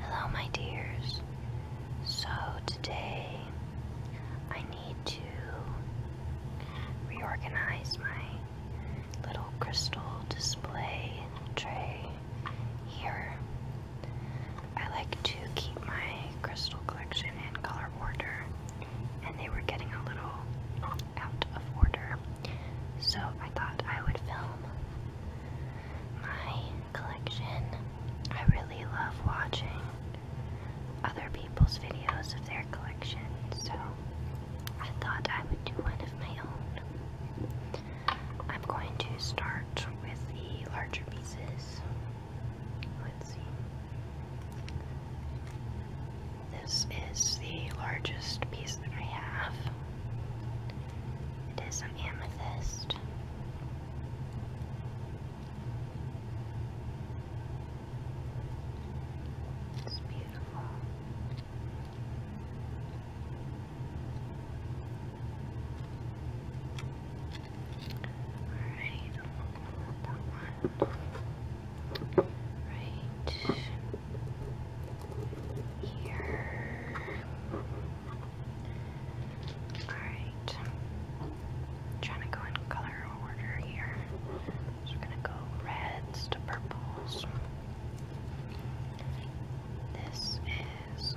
Hello, my dears. So, today I need to reorganize my little crystal display tray here. I like to keep my crystal collection in color order, and they were getting a little out, of order. So I thought I would film my collection. I really love watching other people's videos of their collection, so I thought I would do one of my own. I'm going to start with the larger pieces. Let's see. This is the largest piece that I have. It is an amethyst. It's beautiful. Alright, Right here. Alright. Trying to go in color order here. we're gonna go reds to purples. This is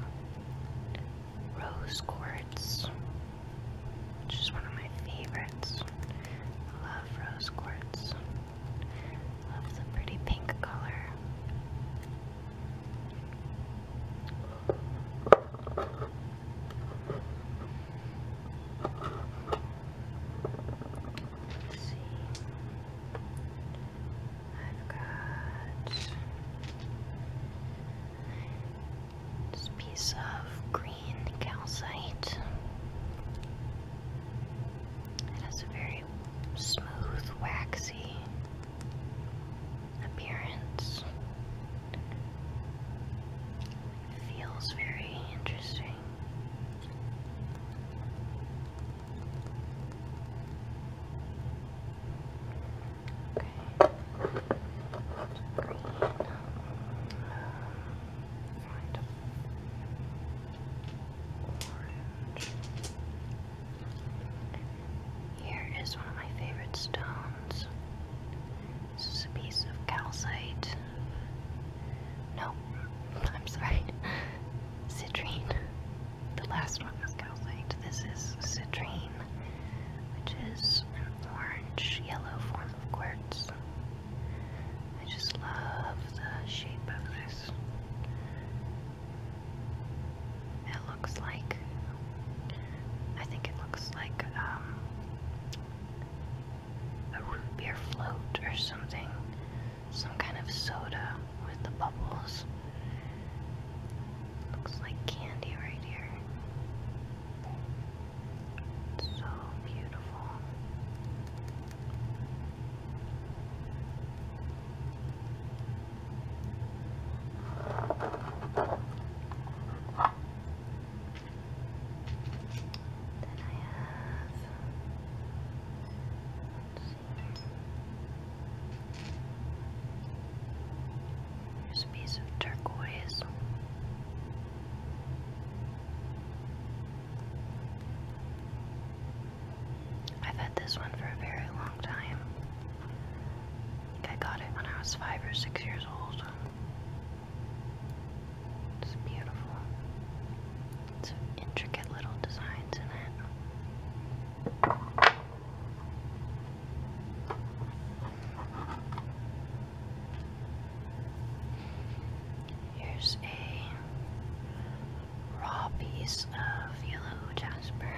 rose quartz, which is one of my favorites. I love rose quartz. Loves a pretty pink color. Let's see. I've got this piece of green calcite. It has a very smooth, waxy appearance. feels very interesting. Okay. Here is one of my favorite stones. This is a piece of calcite. No, I'm sorry. Citrine. The last one was calcite. This is citrine, which is an orange yellow form of quartz. I just love the shape of this. It looks like, I think it looks like um, a root beer float or something. Some kind of soda with the bubbles. Looks like candy right here. So beautiful. Then I have, let a piece of turquoise. I've had this one for a very long time. I got it when I was five or six years old. It's beautiful. It's intricate little designs in it. Here's a raw piece of yellow jasper.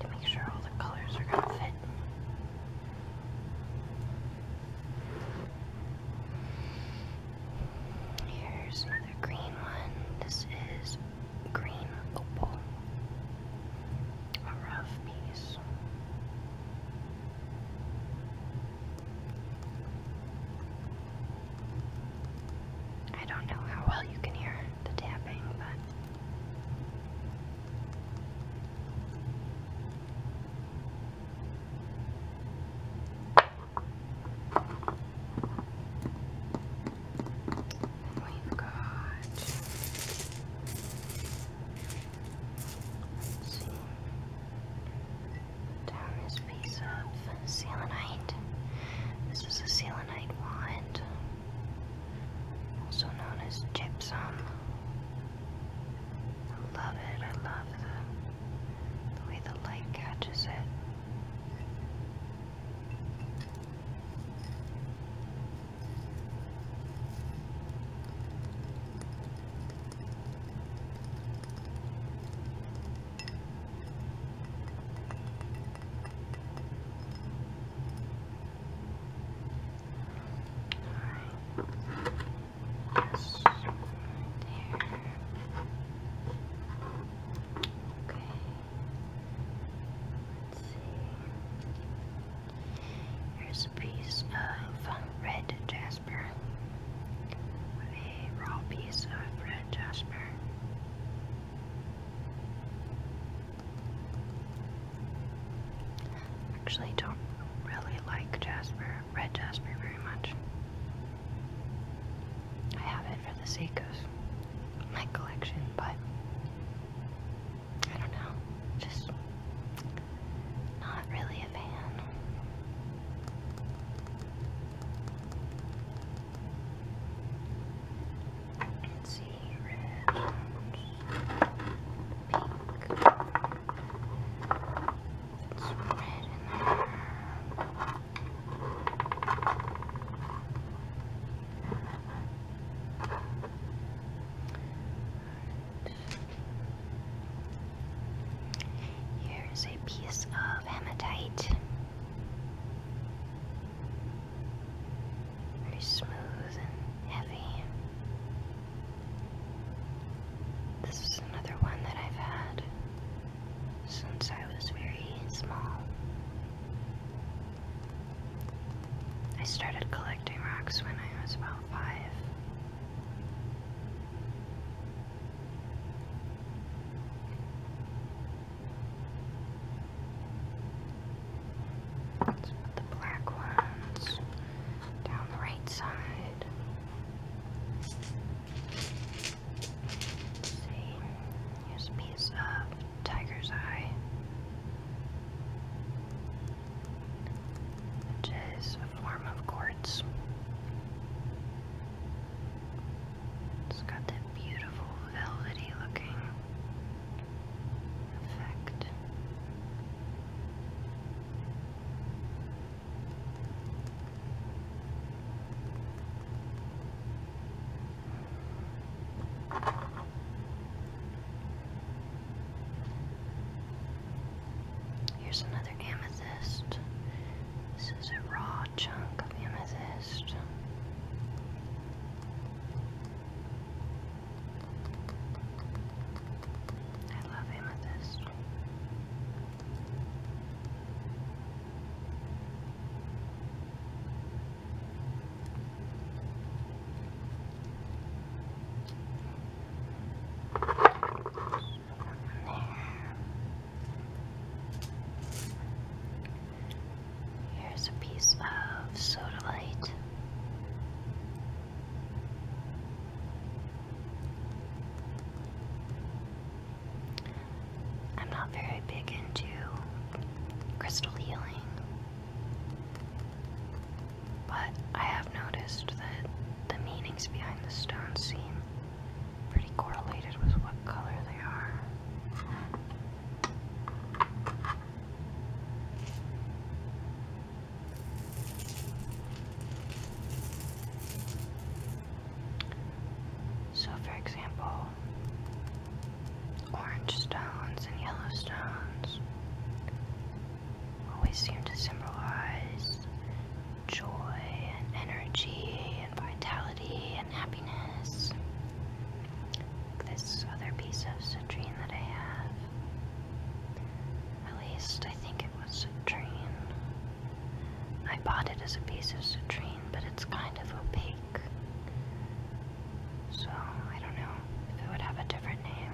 To make sure all the colors are going to fit. Here's another green one. This is green opal. A rough piece. I don't know how well you can hear the tapping, but. We've got. Let's see. Down this piece of selenite. This is a selenite wand, also known as gypsum. I love it. I love the the way the light catches it. All right. Yes, there. Okay. Let's see. Here's a piece of red jasper. A raw piece of red jasper. Actually, don't really like jasper red jasper very much. I have it for the sake of my collection, but I don't know. Just not really a fan. let see, red, pink, it's red in there. Here's a piece of hematite. Very smooth and heavy. This is another one that I've had since I was very small. I started collecting rocks when I was about five. Let's put the black ones down the right side let see. Here's piece of tiger's eye, which is a form of quartz. It's got that beautiful velvety looking effect. Here's another amethyst. This is a raw chunk of amethyst. I love amethyst. Here's a piece of soda light. I'm not very big into crystal healing, but I have noticed that the meanings behind the stones seem pretty correlated with what color they are. So, for example, orange stones and yellow stones always seem to symbolize joy and energy and vitality and happiness. This other piece of citrine that I have. At least I think it was a citrine. I bought it as a piece of citrine, but it's kind of opaque. So I don't know if it would have a different name.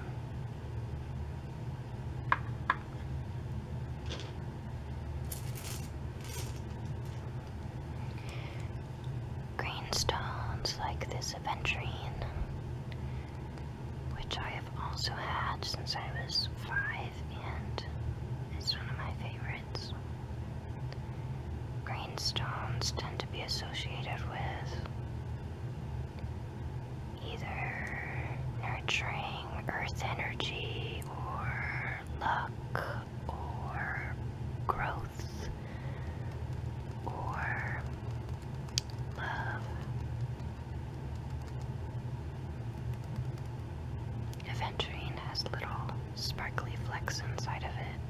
Green stones like this aventurine, which I have also had since I was five and it's one of my favorites. Green stones tend to be associated with either nurturing earth energy or luck or growth or love. Aventurine has little sparkly flecks inside of it.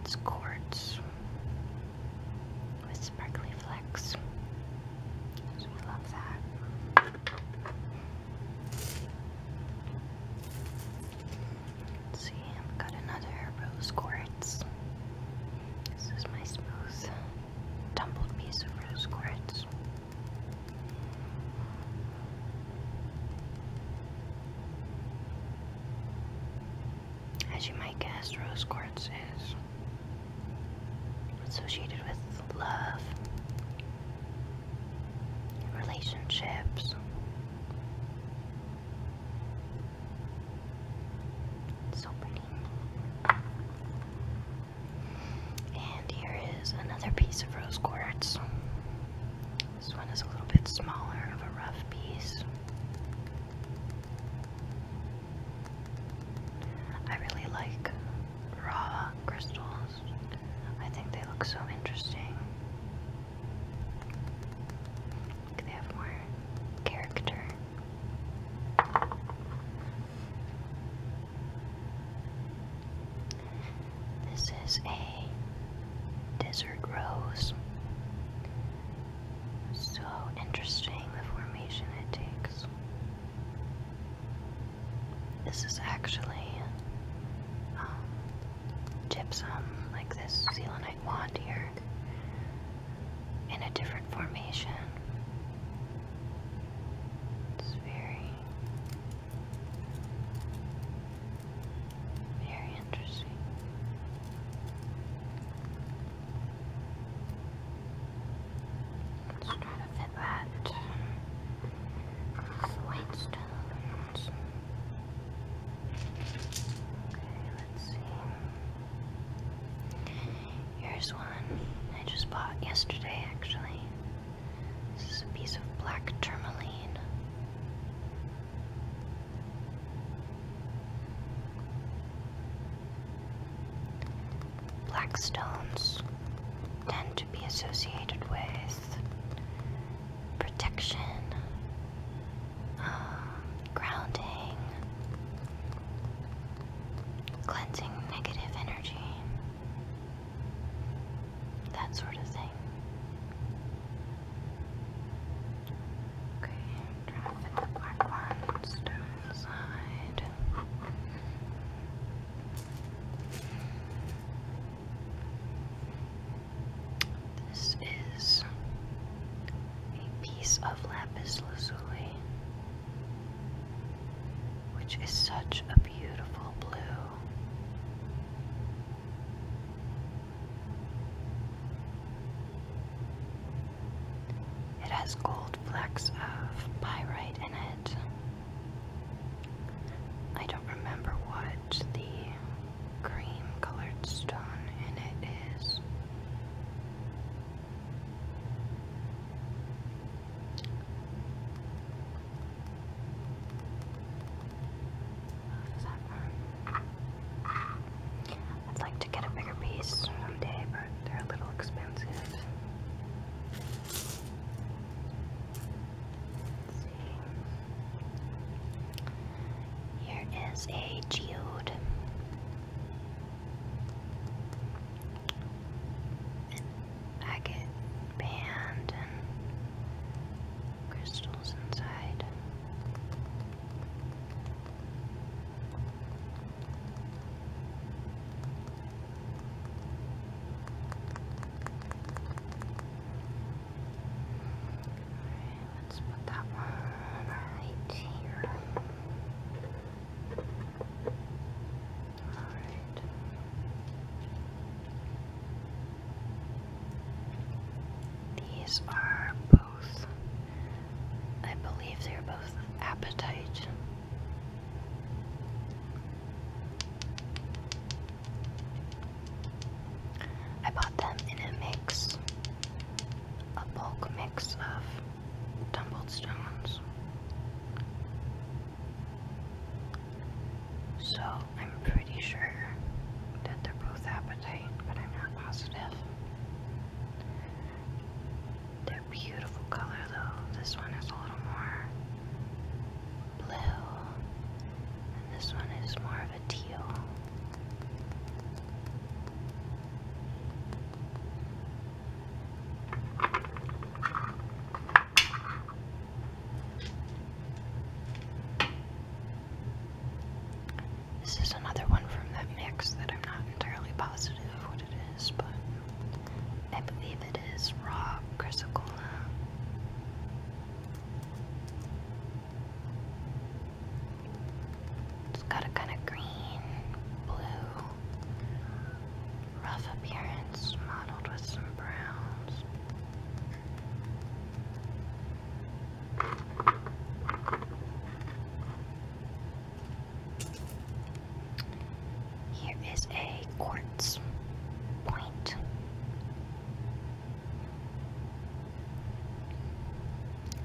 It's quartz with sparkly flecks. we love that. see, i got another rose quartz. This is my smooth, tumbled piece of rose quartz. As you might guess, rose quartz is associated with love, relationships, so pretty. And here is another piece of rose quartz. This one is a little bit smaller of a rough piece. I really like raw crystals. I think they look so interesting. They have more character. This is a desert rose. So interesting the formation it takes. This is actually um, gypsum, like this selenite wand here, in a different formation. It's very, very interesting. Let's try to fit that white stones. Okay, let's see. Here's one I just bought yesterday, actually. This is a piece of black tourmaline. Black stones tend to be associated with protection, uh, grounding, cleansing negative energy, that sort of thing. Okay, drop in the black one, stone side. This is a piece of lapis lazuli which is such a beautiful blue. It has gold flecks of pyrite in it. I don't remember what the cream colored stone in it is. I'd like to get a bigger piece someday, but they're a little expensive. Here is a geode and agate band and crystals inside. Alright, let's put that one right here. These are both, I believe they're both appetite. I bought them in a mix, a bulk mix of tumbled stones. So I'm pretty sure that they're both appetite, but I'm not positive. They're beautiful color though. This one is a little more blue, and this one is more of a teal. This is another one from that mix that I'm not entirely positive what it is, but I believe it is raw chrysocolla. It's got a kind of green, blue, Rough appearance mottled with some browns. Here is a quartz point.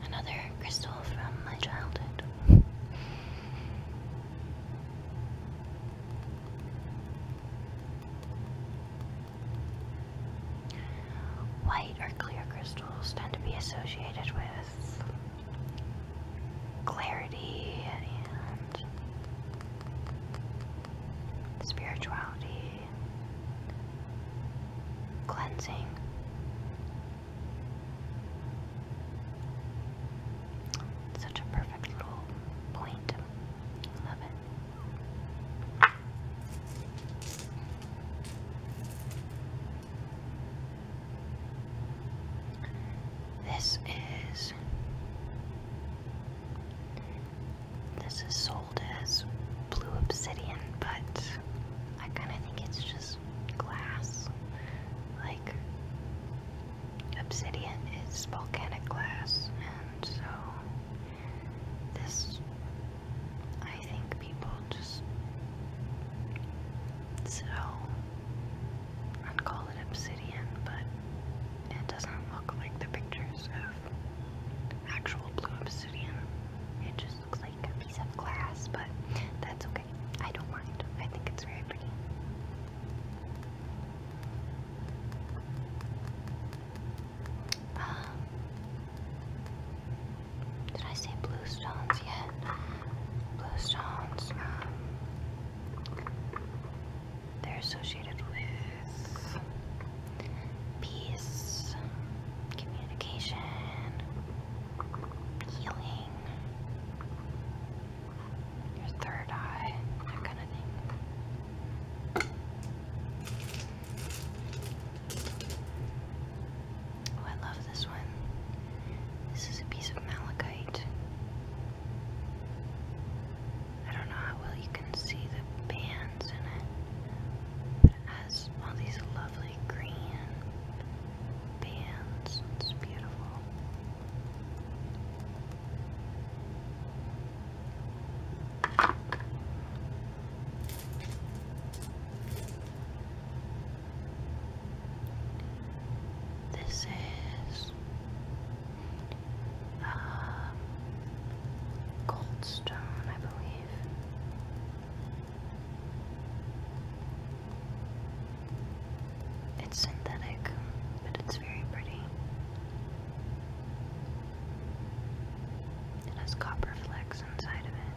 Another crystal from my childhood. White or clear crystals tend to be associated with clarity and spirituality, cleansing. Such a perfect little point. Love it. This is this is sold as blue obsidian, but I kind of think it's just glass. Like obsidian is volcanic glass, and so this, I think people just sell, i call it obsidian, but it doesn't look like the pictures of actual blue obsidian. It just looks like a piece of glass, but that's okay. I don't mind. I think it's very pretty. Um, did I say blue stones yet? Blue stones, um, they're associated with peace, communication, healing your third eye, Oh, I love this one. This is a piece of malachite. I don't know how well you can see the bands in it, but it has all these lovely green bands. It's beautiful. This is um, Goldstone, I believe. It's synthetic, but it's very pretty. It has copper flecks inside of it.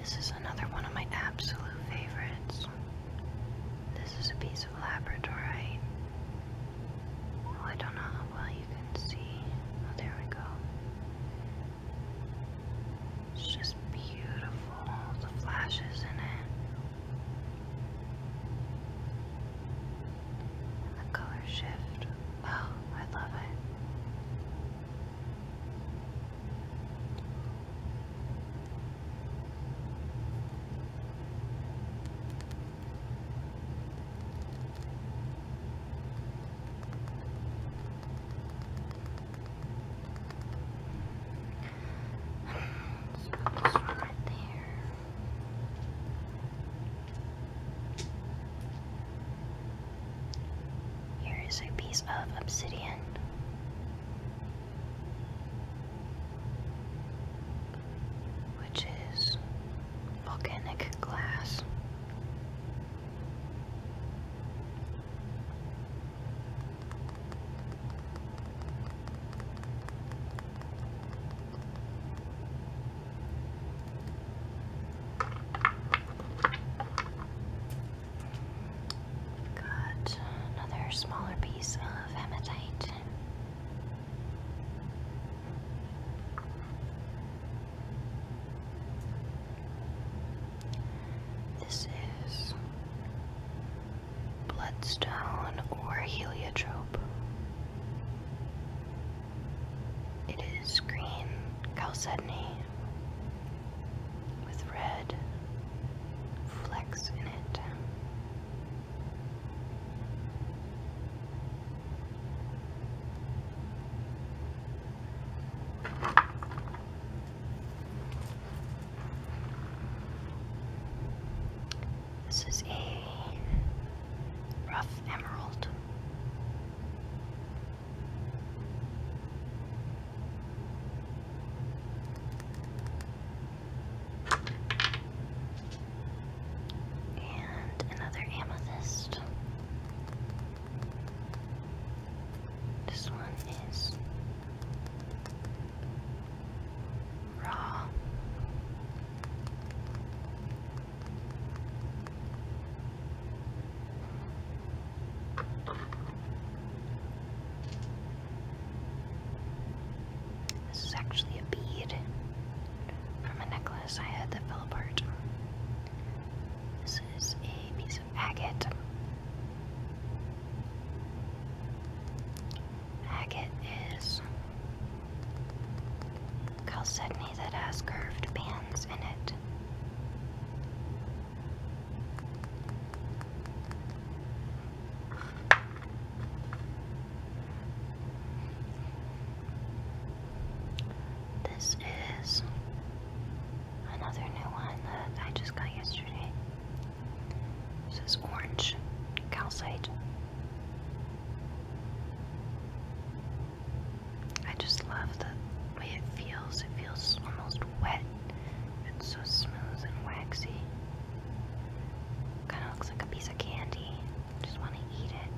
This is another one of my absolute favorites. This is a piece of labradorite well, I don't know how well you can see. Oh, there we go. It's just beautiful, the flashes in it. the color shift. Oh, I love it put this one right there. Here is a piece of obsidian which is volcanic glass. Got another smaller piece of hematite. This is bloodstone or heliotrope. It is green chalcedony with red flecks in it. This is a rough emerald. And another amethyst. This one is raw. This is actually a bead from a necklace I had that fell apart. This is a piece of agate. Agate is chalcedony that has curved bands in it. This is another new one that I just got yesterday. This is orange calcite. I just love the way it feels. It feels almost wet. It's so smooth and waxy. Kind of looks like a piece of candy. Just want to eat it.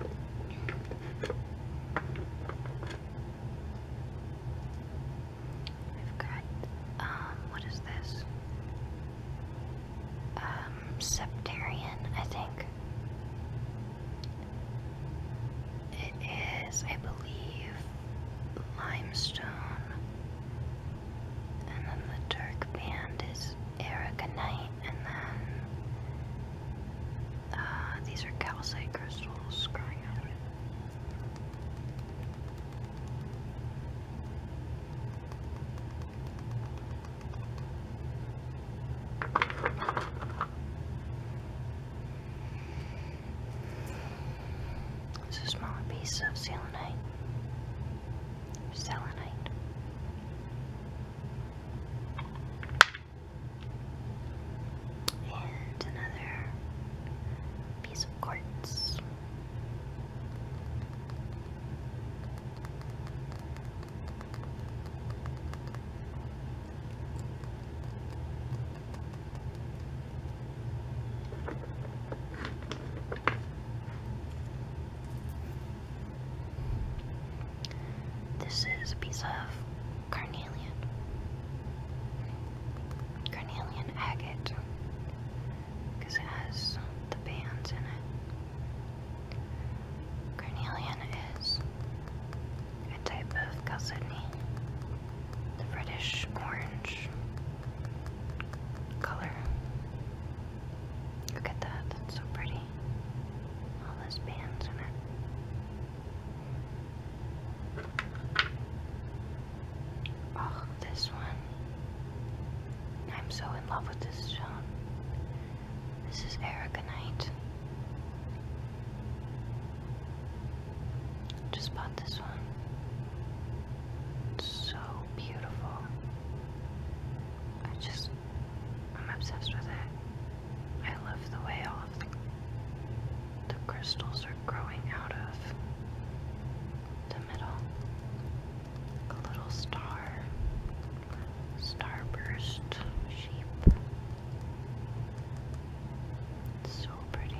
We've got, um, what is this? Um, Septarian, I think. It is, I believe, limestone. And then the dark band is aragonite, and then uh, these are calcite crystals growing out of it. It's a small piece of selenite. Selenite. And another piece of quartz. This is a piece of carnelian. Carnelian agate because it has the bands in it. Carnelian is a type of gazelle, the reddish orange color. Look at that, that's so pretty. All those bands in it. Oh, this one. I'm so in love with this stone. This is Erica Knight. Just bought this one. so beautiful. I just, I'm obsessed with it. I love the way all the, crystals are growing out of the middle. a little star, starburst shape. It's so pretty.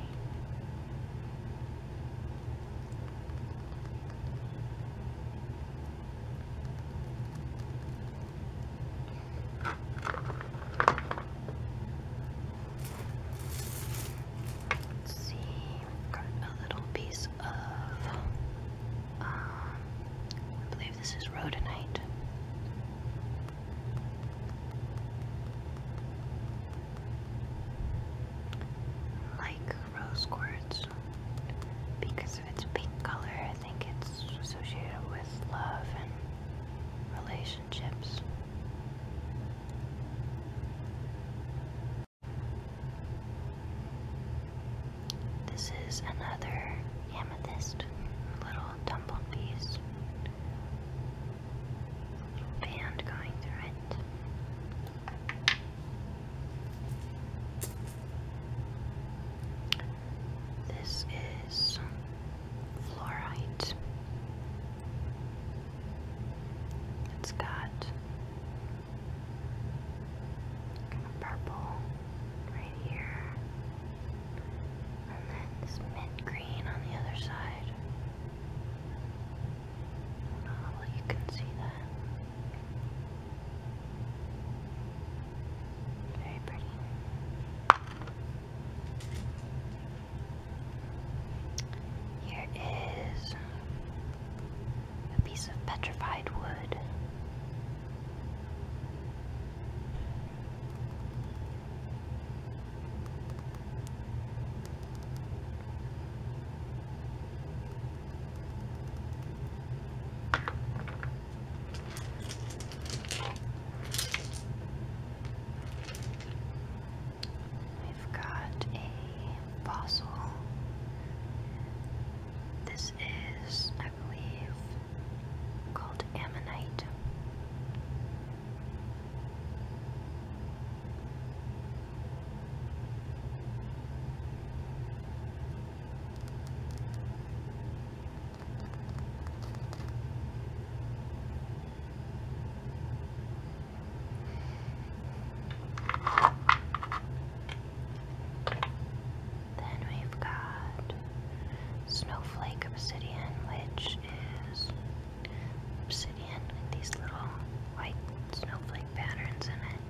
see, got a little piece of um, I believe this is rhodonite. Like rose quartz, because of its pink color, I think it's associated with love and relationships. This is another amethyst, little tumbled beast. band going through it. This is fluorite. It's got purple right here. And then this mint green on the other side. I oh, well, you can see that. Very pretty. Here is a piece of petrified wood. We've got a fossil. This is, called ammonite. Then we've got Snowflake Obsidian, which is obsidian with these little white snowflake patterns in it.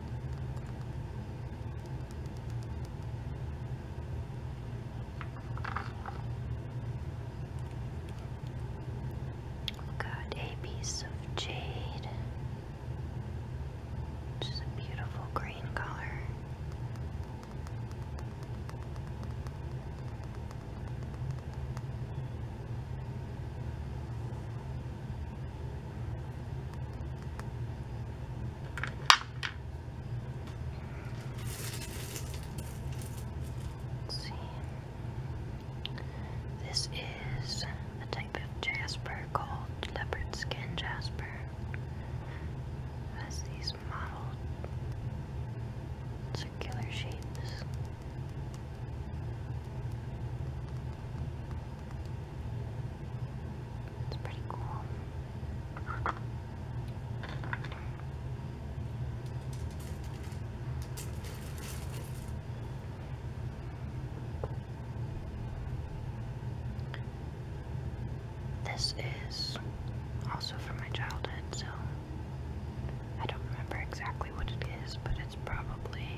We've got a piece of jade, which is a beautiful green color see. This is a type of jasper called leopard skin jasper. It these modeled circular shapes. It's pretty cool. This is also from my childhood, so I don't remember exactly what it is, but it's probably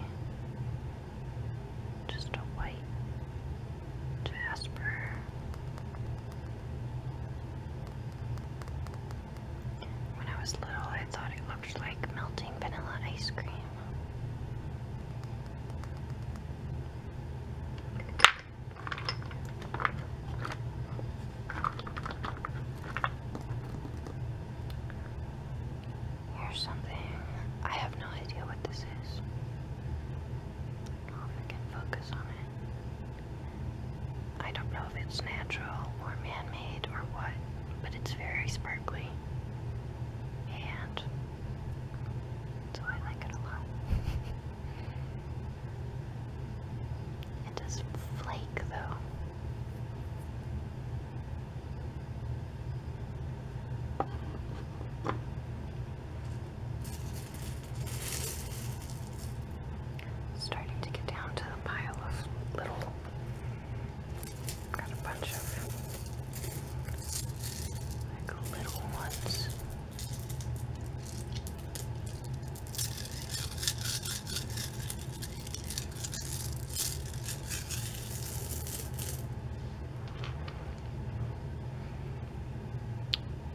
just a white jasper. When I was little, I thought it looked like melting vanilla ice cream. Or something. I have no idea what this is. I don't know if can focus on it. I don't know if it's natural or man made or what, but it's very sparkly. And so I like it a lot. It does flake though. Starting to get down to the pile of little. Got a bunch of like little ones.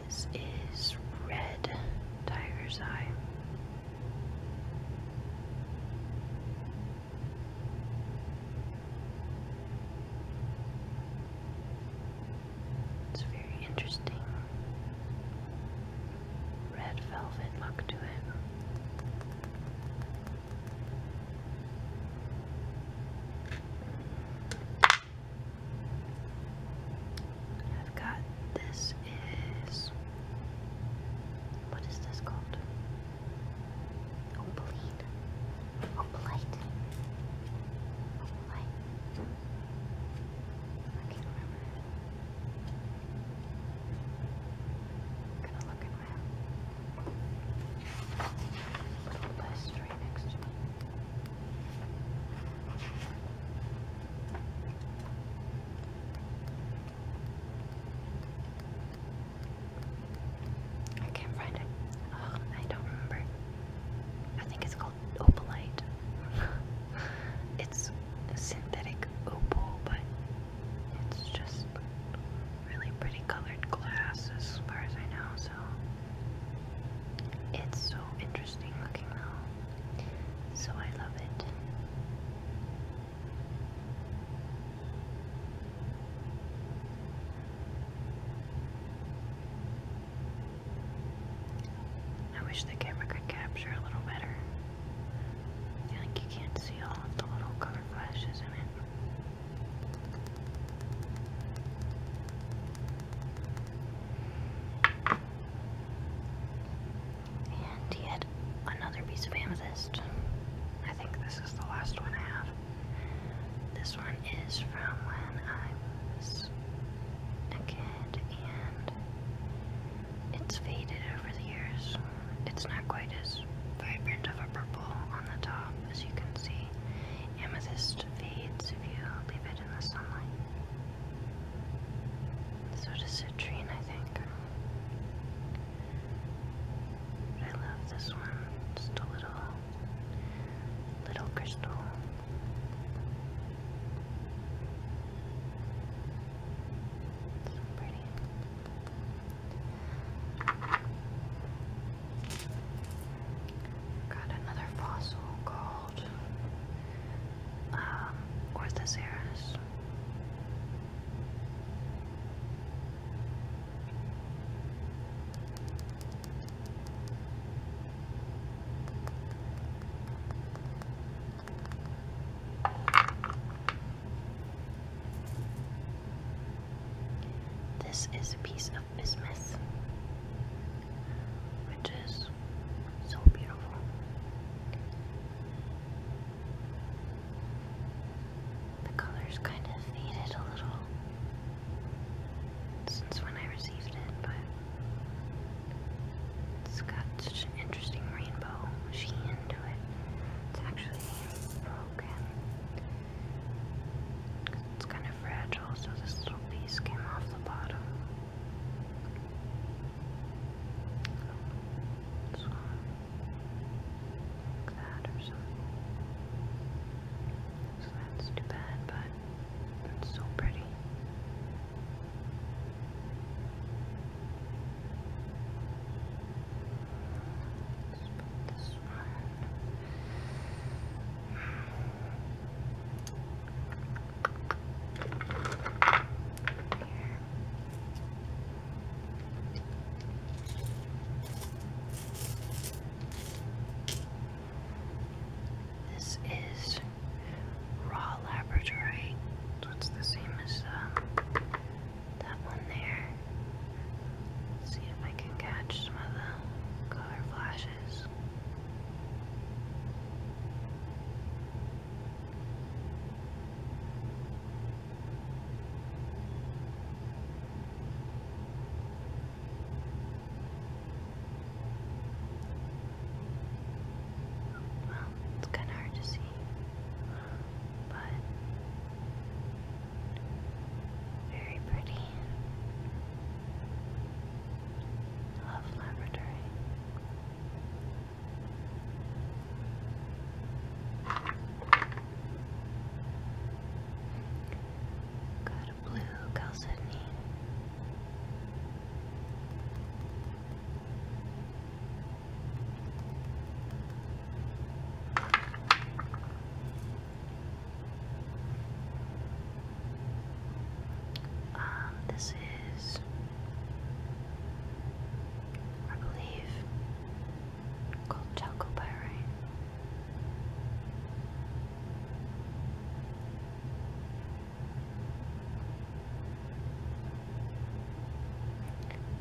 This is red tiger's eye. It's very interesting. Red velvet look to it. I've got this is what is this called? Opalite. Opalite. Opalite. I can't remember. I'm gonna look at my list right next to me. I can't find it. Oh, I don't remember. I think it's called opalite. it's synthetic opal, but it's just really pretty colored glass as far as I know, so it's so interesting looking though. So I love it. I wish the camera could capture a little better. I think you can't see all of the little color flashes in it. And yet another piece of amethyst. I think this is the last one I have. This one is from when I was a and it's faded over the years. It's not quite as vibrant of a purple on the top as you can see. Amethyst fades if you leave it in the sunlight. So does citrine, I think. I love this one. Just a little, little crystal Got another fossil called um, this is a piece of bismuth, which is so beautiful. The colors kind of faded a little since when I received it, but it's got such an interesting rainbow machine to it. It's actually broken. It's kind of fragile, so this little piece came off the bottom. like that or something. So that's too bad, but it's so pretty. Let's put this one here. This is Raw Laboratory. So it's the same as uh, that one there. see if I can catch some of the color flashes. Well, it's kind of hard to see, but very pretty. love laboratory. Got a blue calcedony. Um, this is, I believe, called chalcopyrite.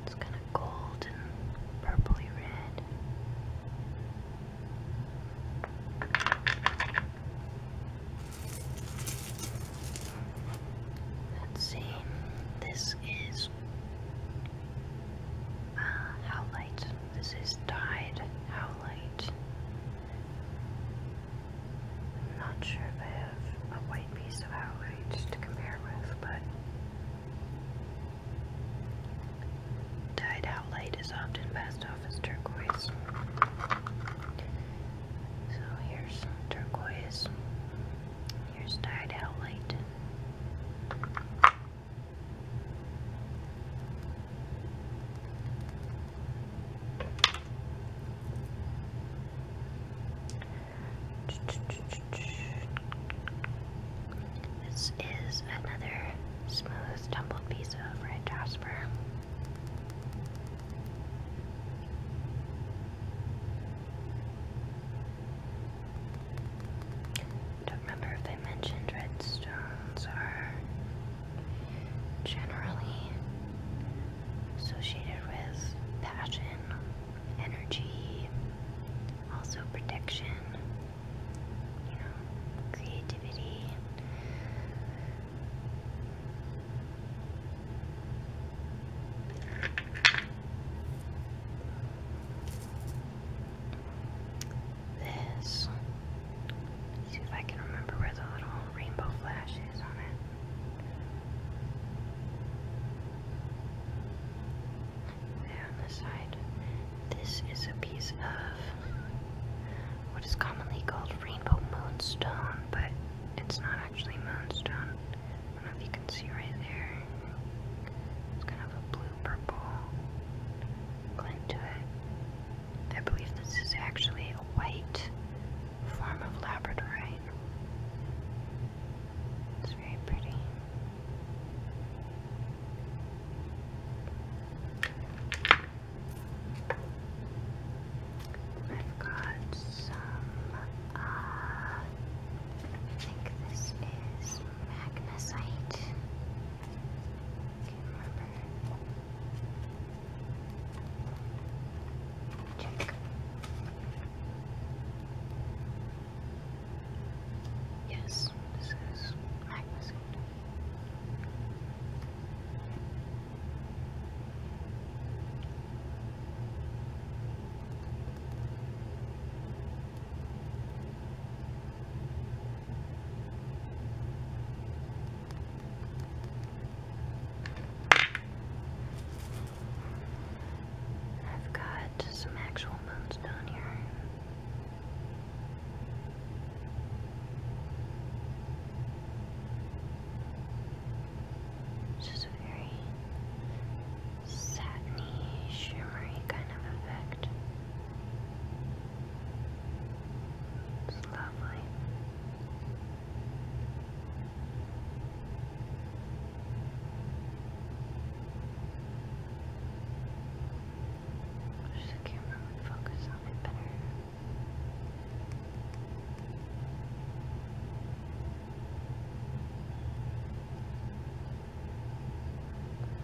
It's kind of gold and purpley red. Let's see. This is uh, howlite. This is dyed howlite. I'm not sure if I have a white piece of outrage to compare with, but dyed out light is often passed off as turquoise. So here's turquoise. Here's dyed out this is another smooth tumbled piece of red jasper. Don't remember if I mentioned red stones are generally associated with passion, energy, also protection, you know, creativity. This. See if I can remember where the little rainbow flash there on the side. This is a piece of what is commonly called rainbow moonstone, but it's not actually moonstone. if you can see right there. It's kind of a blue purple glint to it. I believe this is actually a white form of labradorite. It's very pretty. I've got some, uh, I think this is magnesite. I Check. Yes, this is magnificent. I've got some actual moons down here. It's just a very satiny, shimmery kind of effect. It's lovely. Wish the camera would focus on it better.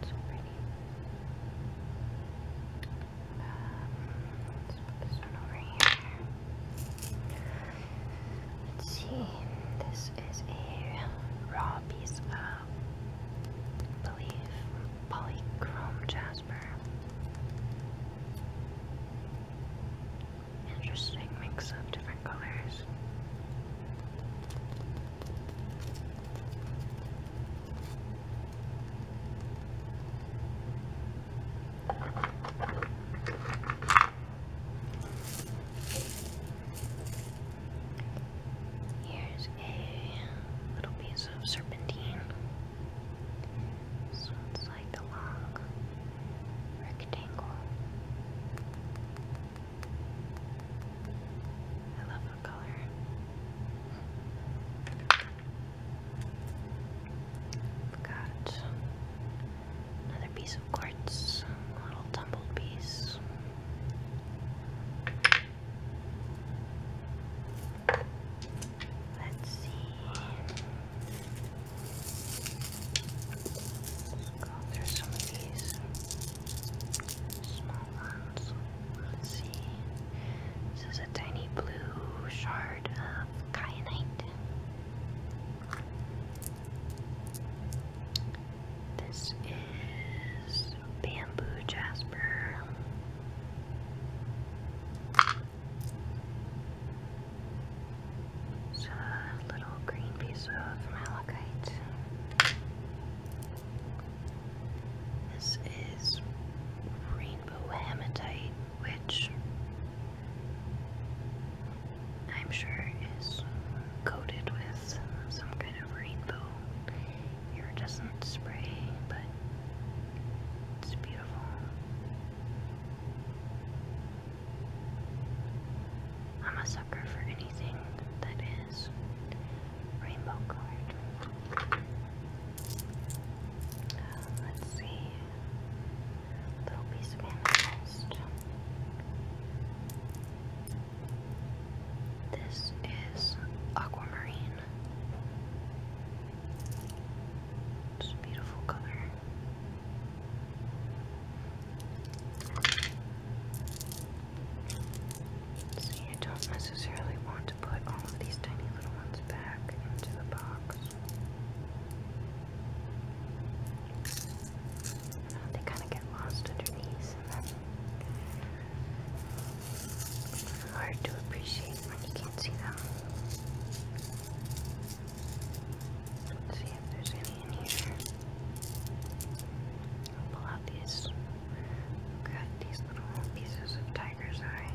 It's pretty. Um, let's put this one over here. Let's see, this is a raw piece of believe polychrome jasper. Interesting mix of different colors. Here's a little piece of serpentine. it's like the long rectangle. I love the color. Got Another piece of quartz, a little tumbled piece. Let's see. Let's go through some of these small ones. Let's see. This is a tiny blue shard of kyanite. This is bamboo jasper. It's a little green piece of malachite. This is rainbow hematite which I'm sure is coated with some kind of rainbow iridescent spray, but it's beautiful. I'm a sucker for anything that is rainbow colored. Uh, let's see little piece of amethyst. This is aquamarine. beautiful color. See, I don't necessarily want to put all of these tiny little ones back into the box. Oh, they kind of get lost under hard to appreciate when you can't see them. Let's see if there's any in here. pull out these. Got these little pieces of tiger's eye.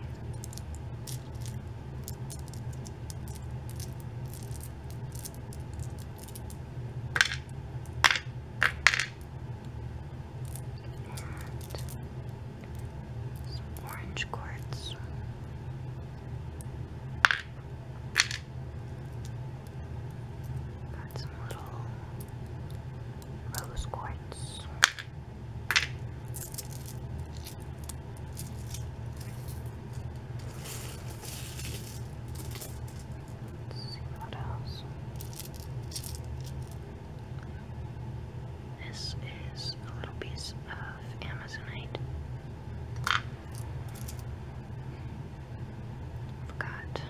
And some orange quartz. Got some little rose quartz see what else. This is a little piece of Amazonite. got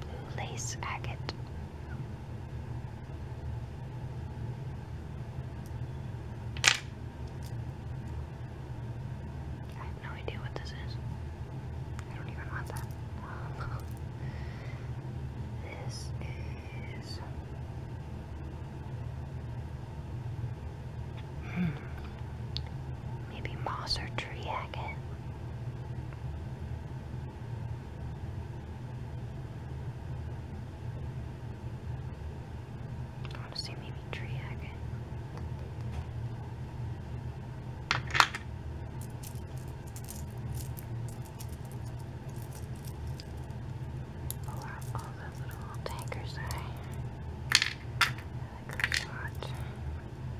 blue lace agate. I have no idea what this is. I don't even want that. this is. Hmm. Maybe moss or tree agate. I want to see maybe tree agate. Pull out all the little tankers I like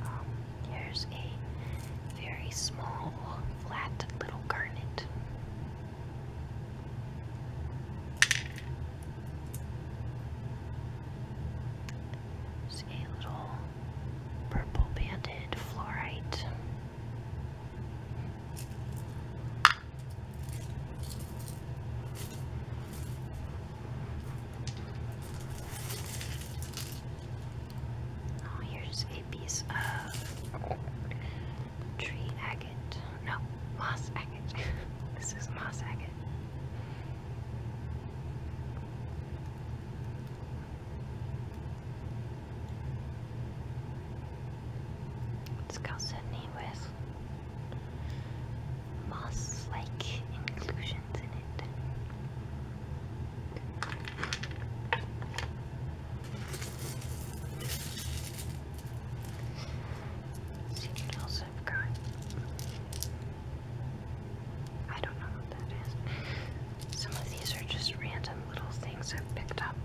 um, here's a very small, flat little garnet. It's a little purple banded fluorite. Oh, here's a piece of tree agate. No, moss agate. this is moss agate. It's got Sydney with moss like inclusions in it. see what else is. I forgot. I don't know what that is. Some of these are just random little things I've picked up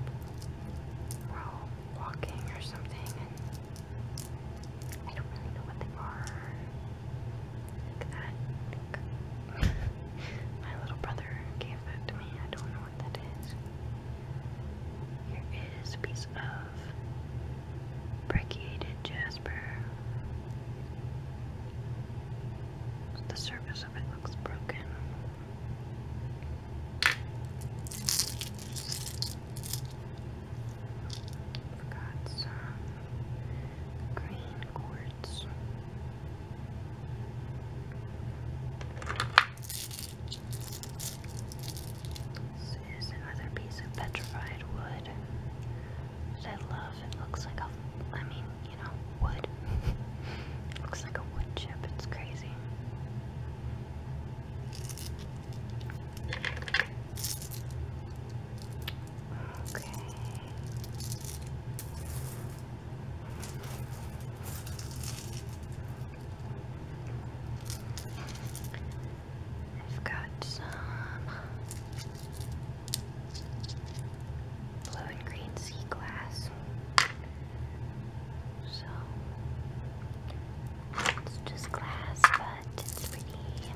while walking or something, and I don't really know what they are. that. My little brother gave that to me. I don't know what that is. Here is a piece of brachiated jasper. The surface of it looks broken. We've got some green quartz. This is another piece of petrified wood that I love. It looks like a, I mean, you know, wood. looks like a wood chip. It's crazy. Okay. I've got some blue and green sea glass. So it's just glass, but it's pretty.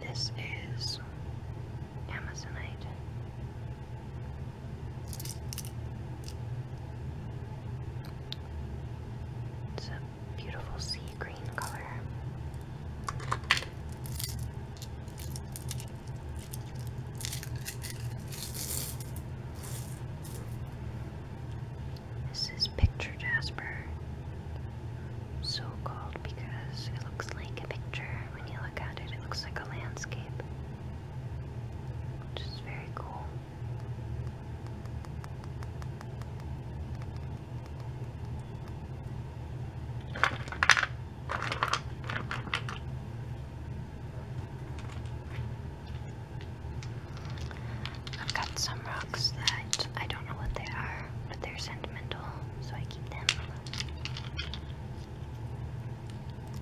This is Amazonite. It's a beautiful sea green color. This is picture jasper, so called because it looks like a picture. When you look at it, it looks like a landscape which is very cool. I've got some rocks that I don't know what they are, but they're sentimental, so I keep them.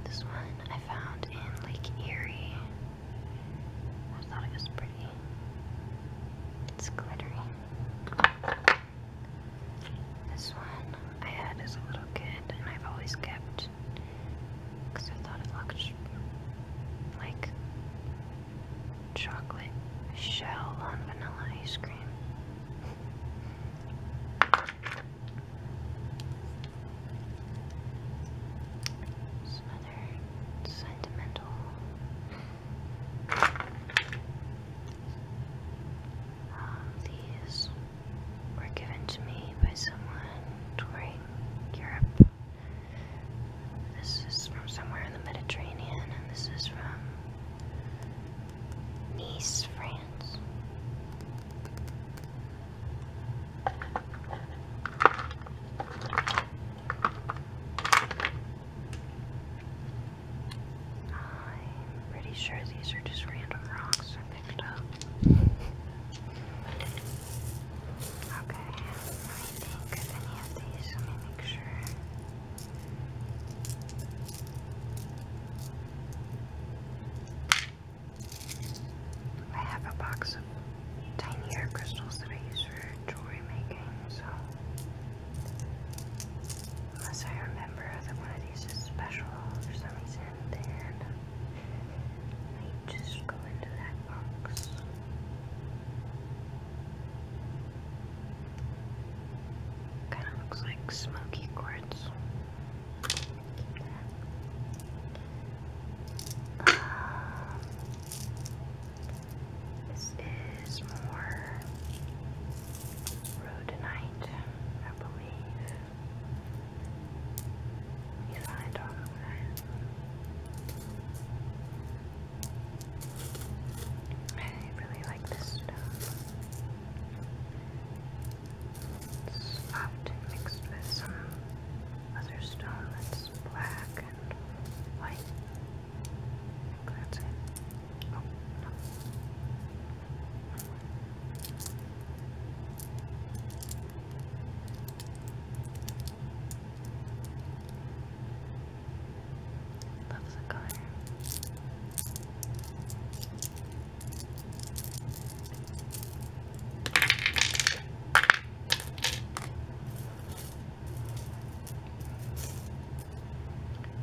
This one I found in Lake Erie. I thought it was pretty. It's glittery. This one I had as a little kid and I've always kept because I thought it looked like chocolate shell on vanilla ice cream. Some other sentimental. Um, these were given to me by someone touring Europe. This is from somewhere in the Mediterranean, and this is from Nice, France. I'm pretty sure these are just random rocks I picked up. Okay, I think if any of these, let me make sure. I have a box of tinier crystals that I use for jewelry making, so unless I remember that one of these is special for some reason, then just go into that box. Kind of looks like smoky quartz. Um, this is more rhodonite, I believe. You find all that. I really like this stuff. It's often mixed with some other stone that's black and white. that's it. Oh, color.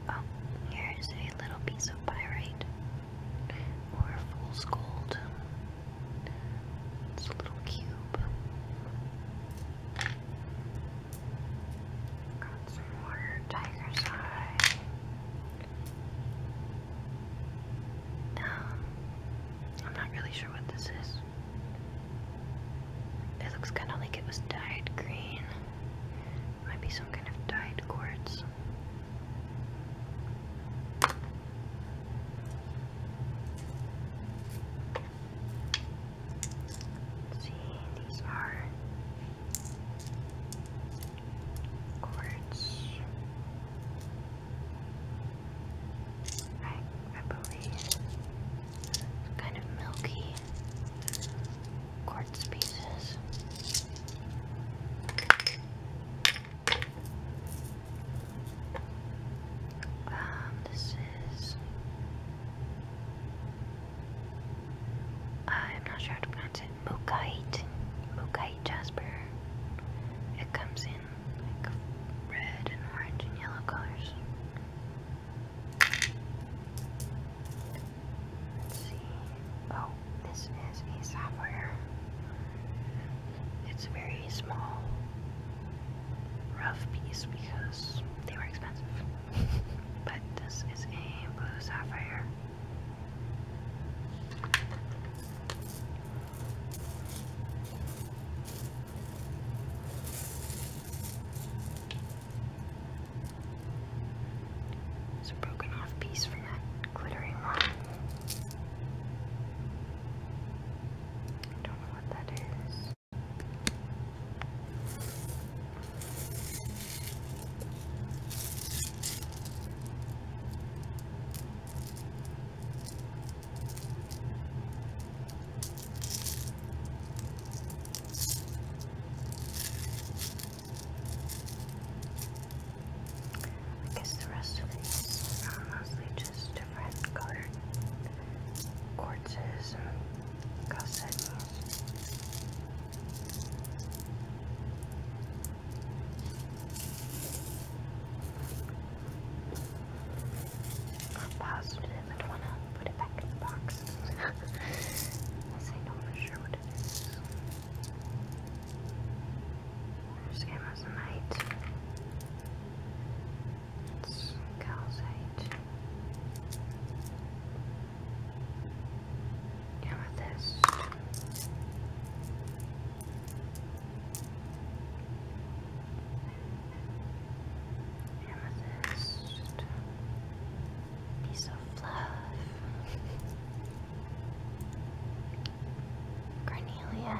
Oh, here's a little piece of pyrite or fool's gold. It's a little cube. Got some more tiger's eye. Um, I'm not really sure what this is. It looks kind of like it was dyed green. Might be some kind of dyed quartz. see, these are quartz. I, believe kind of milky quartz pieces. Um, this is. I'm not sure how to pronounce it. Mukite. Mukite jasper. It comes in like red and orange and yellow colors. Let's see. Oh, this is a software. It's very small, rough piece because they were expensive. but this is a blue sapphire. There's a broken off piece from that glittering one. I don't know what that is. I guess the rest of these are mostly just different colored quartzes and gusset. I'm positive I'd want to put it back in the box. Unless say, no, for sure what it is. This game has a night. It's calcite. this. Amethyst. Piece of fluff. Carnelian.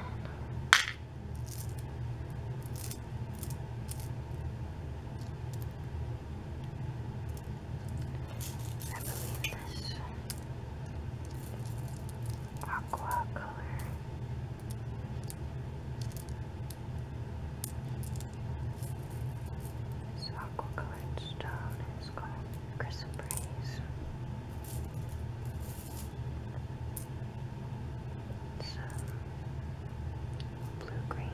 I aqua color. aqua colored stone is called chrysoprase. It's blue green.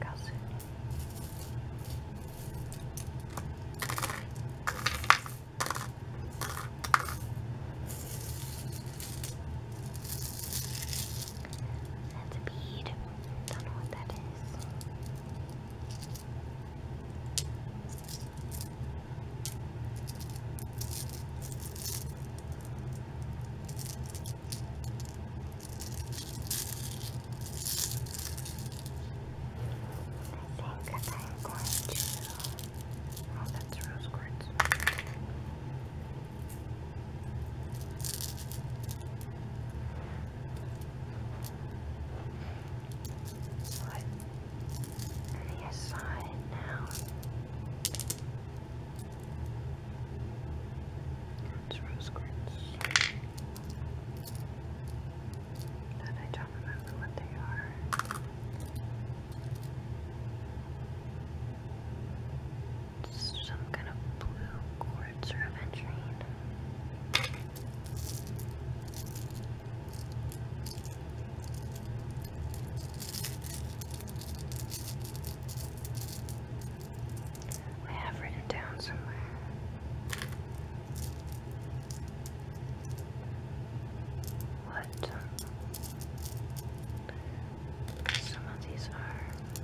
Calcite. That's a bead. Don't know what that is. I think I'm going to. Oh, that's rose quartz. Put the aside now. That's rose quartz. That I some kind of blue quartz reventine. I have written down somewhere what? Some of these are. Eh?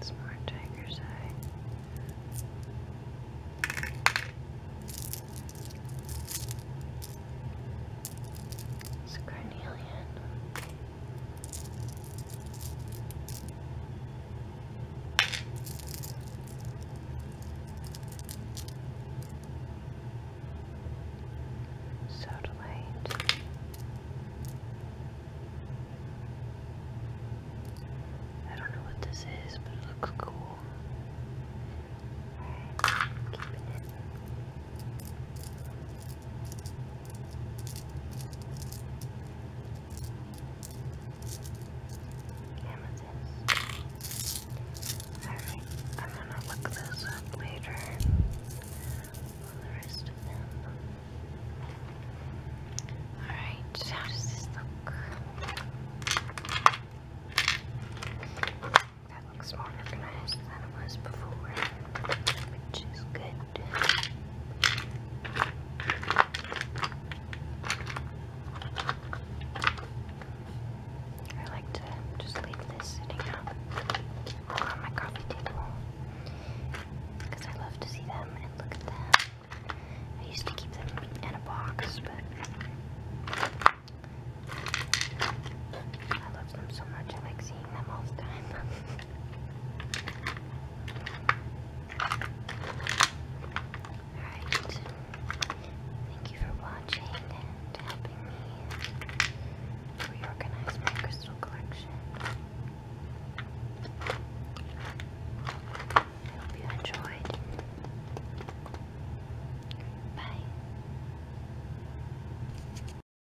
It's more tiger's eye. It's carnelian. So delayed. I don't know what this is, but it looks cool. keeping it. Amethyst. Alright, I'm gonna look this up later on the rest of them. Alright, how does this look? That looks more organized than it was before, which is good. I like to just leave this sitting up on my coffee table because I love to see them and look at them. I used to keep them in a box, but I love them so much I like seeing them all the time. Alright. Thank you for watching and helping me reorganize my crystal collection. I hope you enjoyed. Bye.